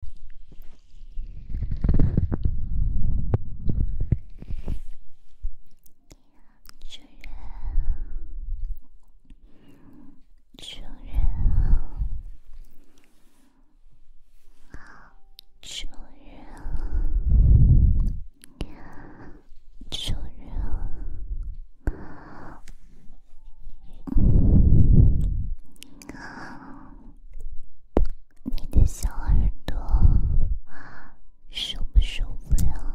主人，主人，主人，主人。你的小耳朵，受不受不了？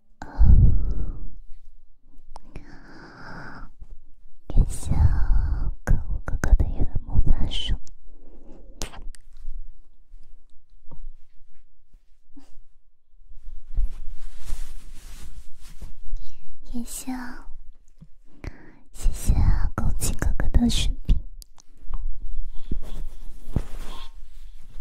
哦，感谢可恶哥哥的叶轮魔法术，谢谢，谢谢枸杞哥哥的视频。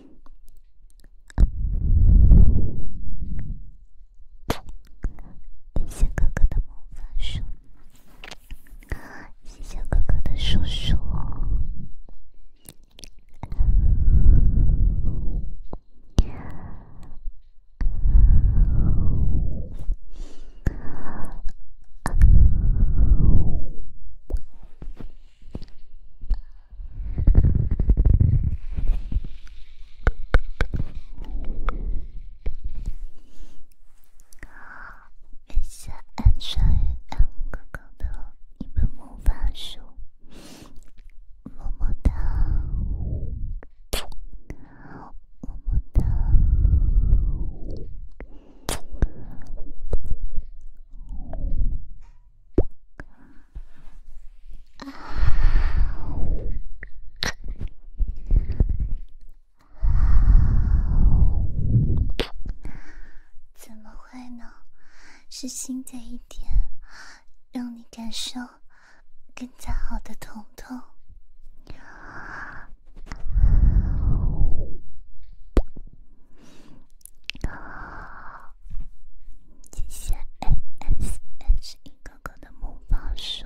谢谢哥哥的魔法书，谢谢哥哥的叔叔。感谢安川安哥哥的一本魔法书，么么哒，么么哒。怎么会呢？是新的一天，让你感受更加好的疼痛。啊！写下 S S S 一个个的木棒数。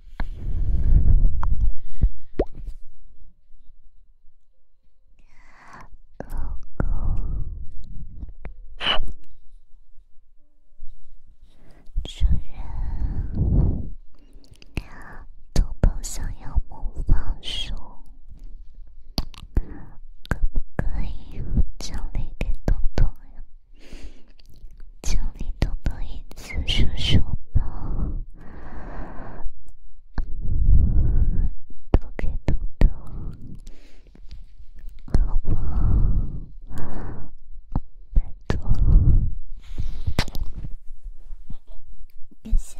狗狗主人，豆豆想要魔法书，可不可以奖励给豆豆呀？叫你多多一次说说吧，多给多多好不好？拜托，别像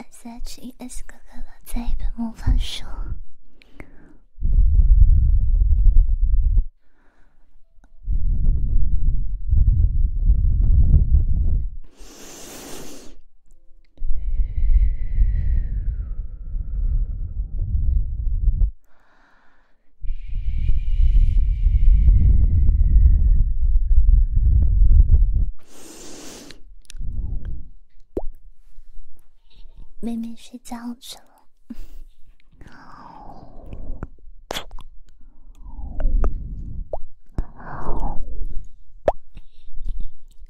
S H E S 哥哥了，在一本魔法书。妹妹睡觉了。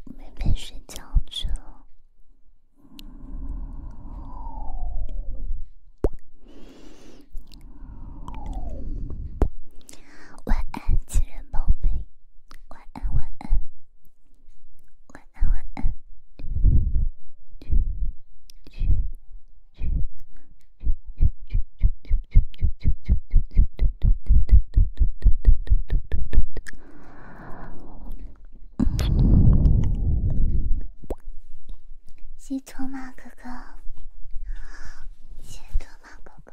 妹妹睡觉去了，晚安，亲人宝贝，晚安，晚安。西托马哥哥，西托马哥哥。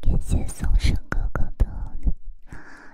感谢松生哥哥的。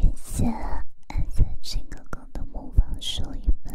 感谢暗色睡哥哥的模仿声音们。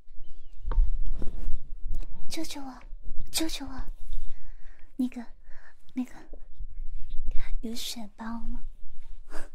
救救我！救救我！那个，那个，有血包吗？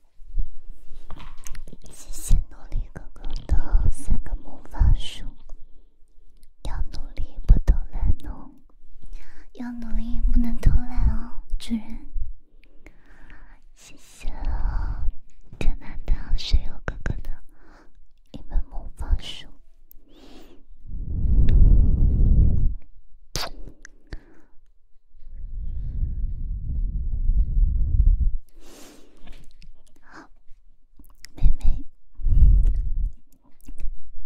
谢谢努力哥哥的三个魔法书，要努力不能懒惰，要努力不能偷懒哦，主人。谢谢了，得到室友哥哥的一本魔法书。好，妹妹，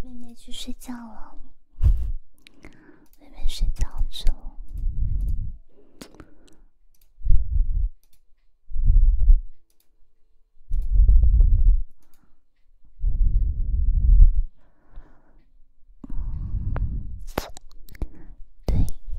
妹妹去睡觉了。妹妹睡觉去。对。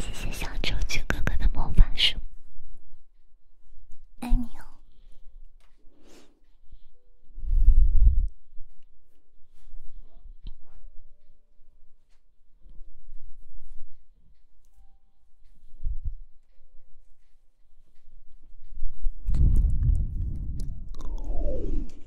谢谢小周俊哥哥的魔法书，爱你哦。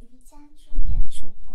宜家助演主播。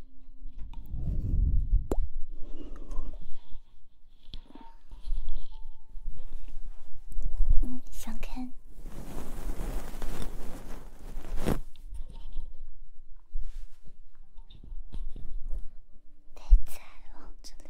想看？待在笼子里。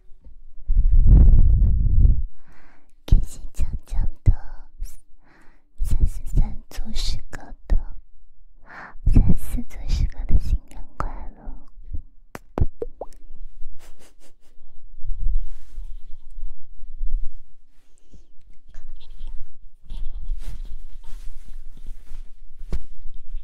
开心强强的，三四三组诗歌的，三四组诗歌的，新年快乐！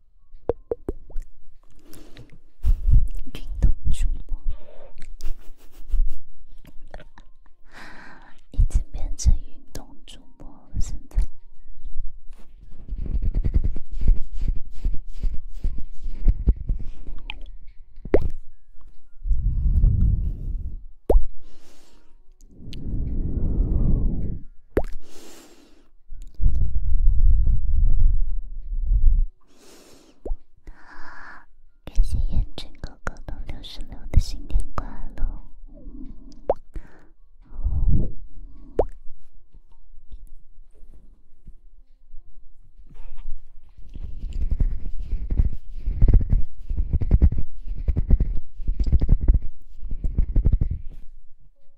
运动主播已经变成运动主播了，现在。啊！感谢烟尘哥哥的六十六的新年快乐。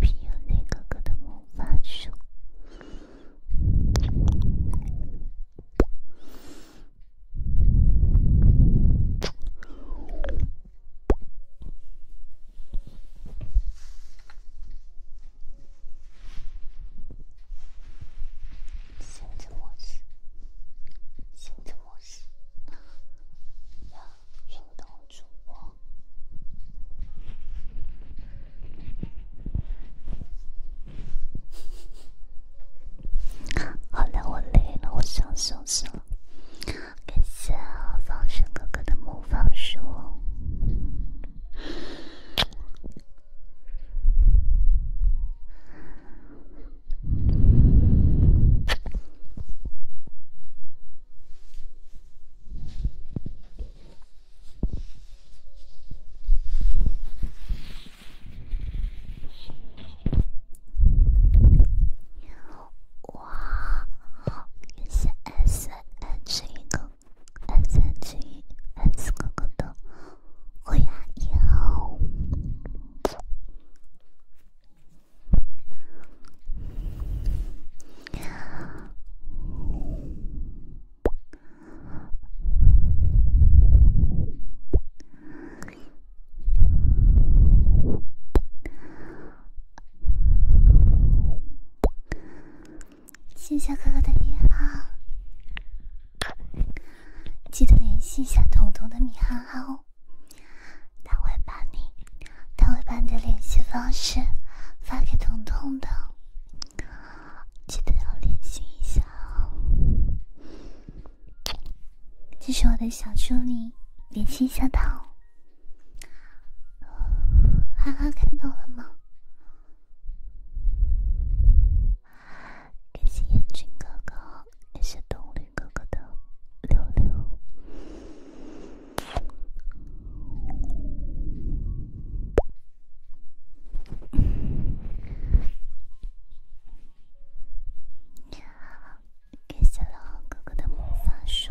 皮尤内哥哥的魔法书。限制模式，限制模式，要运动。住我。好了，我累了，我想休息了。感谢放生哥哥的木方书。哇！感谢 S H 郎，S H S 兄哥的加油！谢谢哥哥的电话，记得联系一下彤彤的米哈哈哦，他会把你。他会把你的联系方式发给彤彤的，记得要联系一下哦。这是我的小助理，联系一下他。哦。哈哈，看到了吗？感谢眼镜哥哥，感谢动力哥哥的六六。给小狼哥哥的魔法书。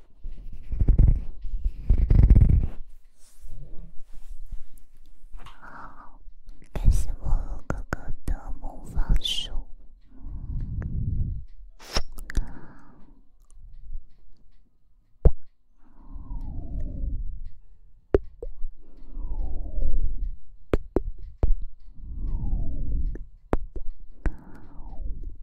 好，感谢乌鲁哥哥的魔法书。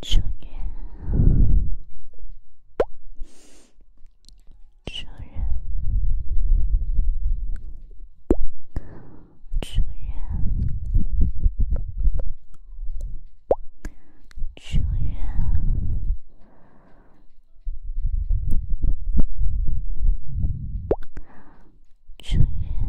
主人，主人，主人，主人，主人。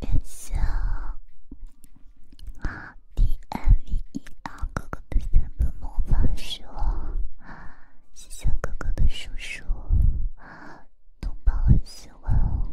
感谢啊，D M V E R 哥哥的三本魔法书，谢谢哥哥的叔叔，东宝很喜欢哦。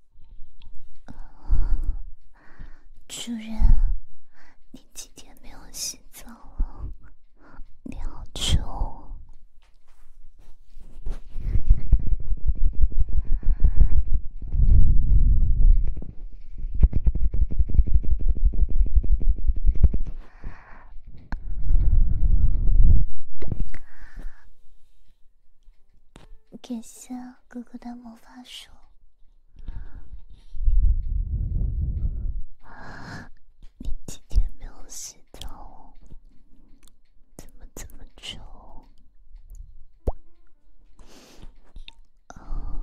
主人，你几天没有洗澡了？你好臭。给下哥哥的魔法手。你几天没有洗澡？怎么这么臭？啊！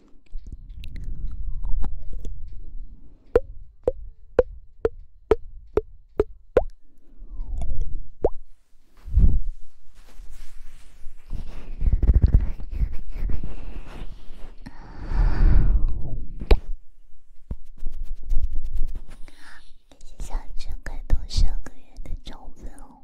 感谢小春开通上个月的种子哦。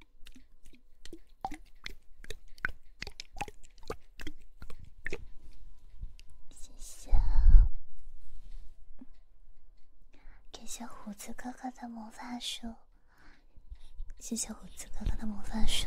谢谢，谢谢胡子哥哥的魔法书，谢谢胡子哥哥的魔法书。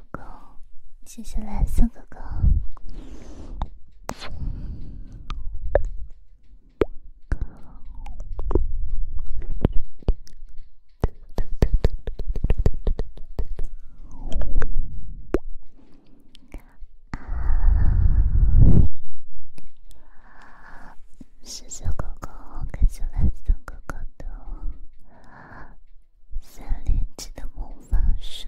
哥哥，谢谢蓝色哥哥。啊，谢谢哥哥，感谢蓝色哥哥的。三年级的魔法书。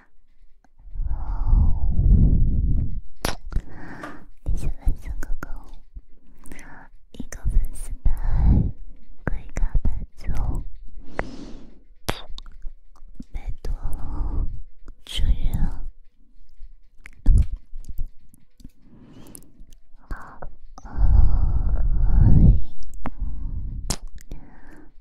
好，你先来三个狗，一个粉丝白，可以卡伴奏，拜托，注意了，啊，哎。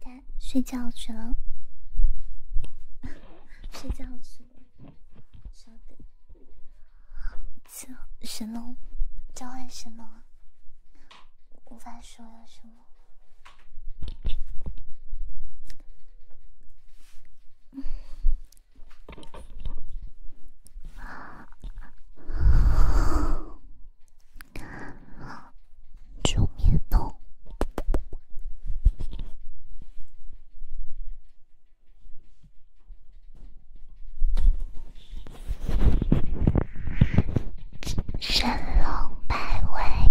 他睡觉去了，睡觉去，稍等，好，神龙，召唤神龙，无法说了，什么。助眠喽，神龙摆尾。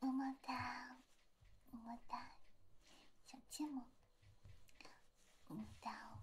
么么哒，么么哒，小芥末，么么哒。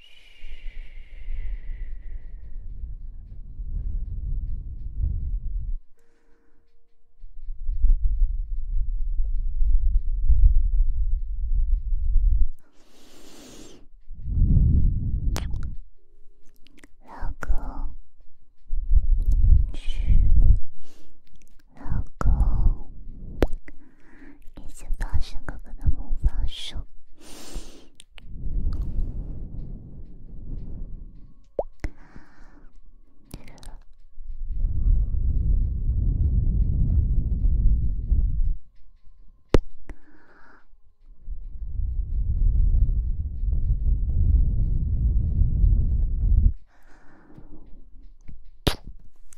老公，嘘，老公，一起发射哥哥的魔法术。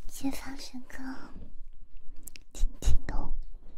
先放声歌，轻轻的。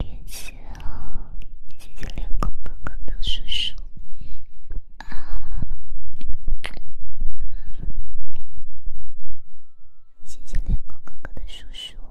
谢谢啊，谢谢猎狗哥哥的叔叔啊，谢谢猎狗哥哥的叔叔啊。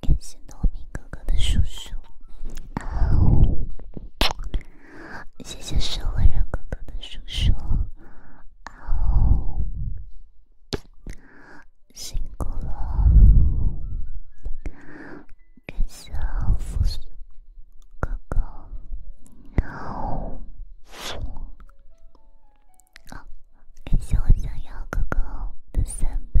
感谢糯米哥哥的叔叔，啊哦！谢谢社会人哥哥的叔叔，啊哦！辛苦了，感谢我富叔哥哥，啊哦！感谢我小妖哥哥的三波。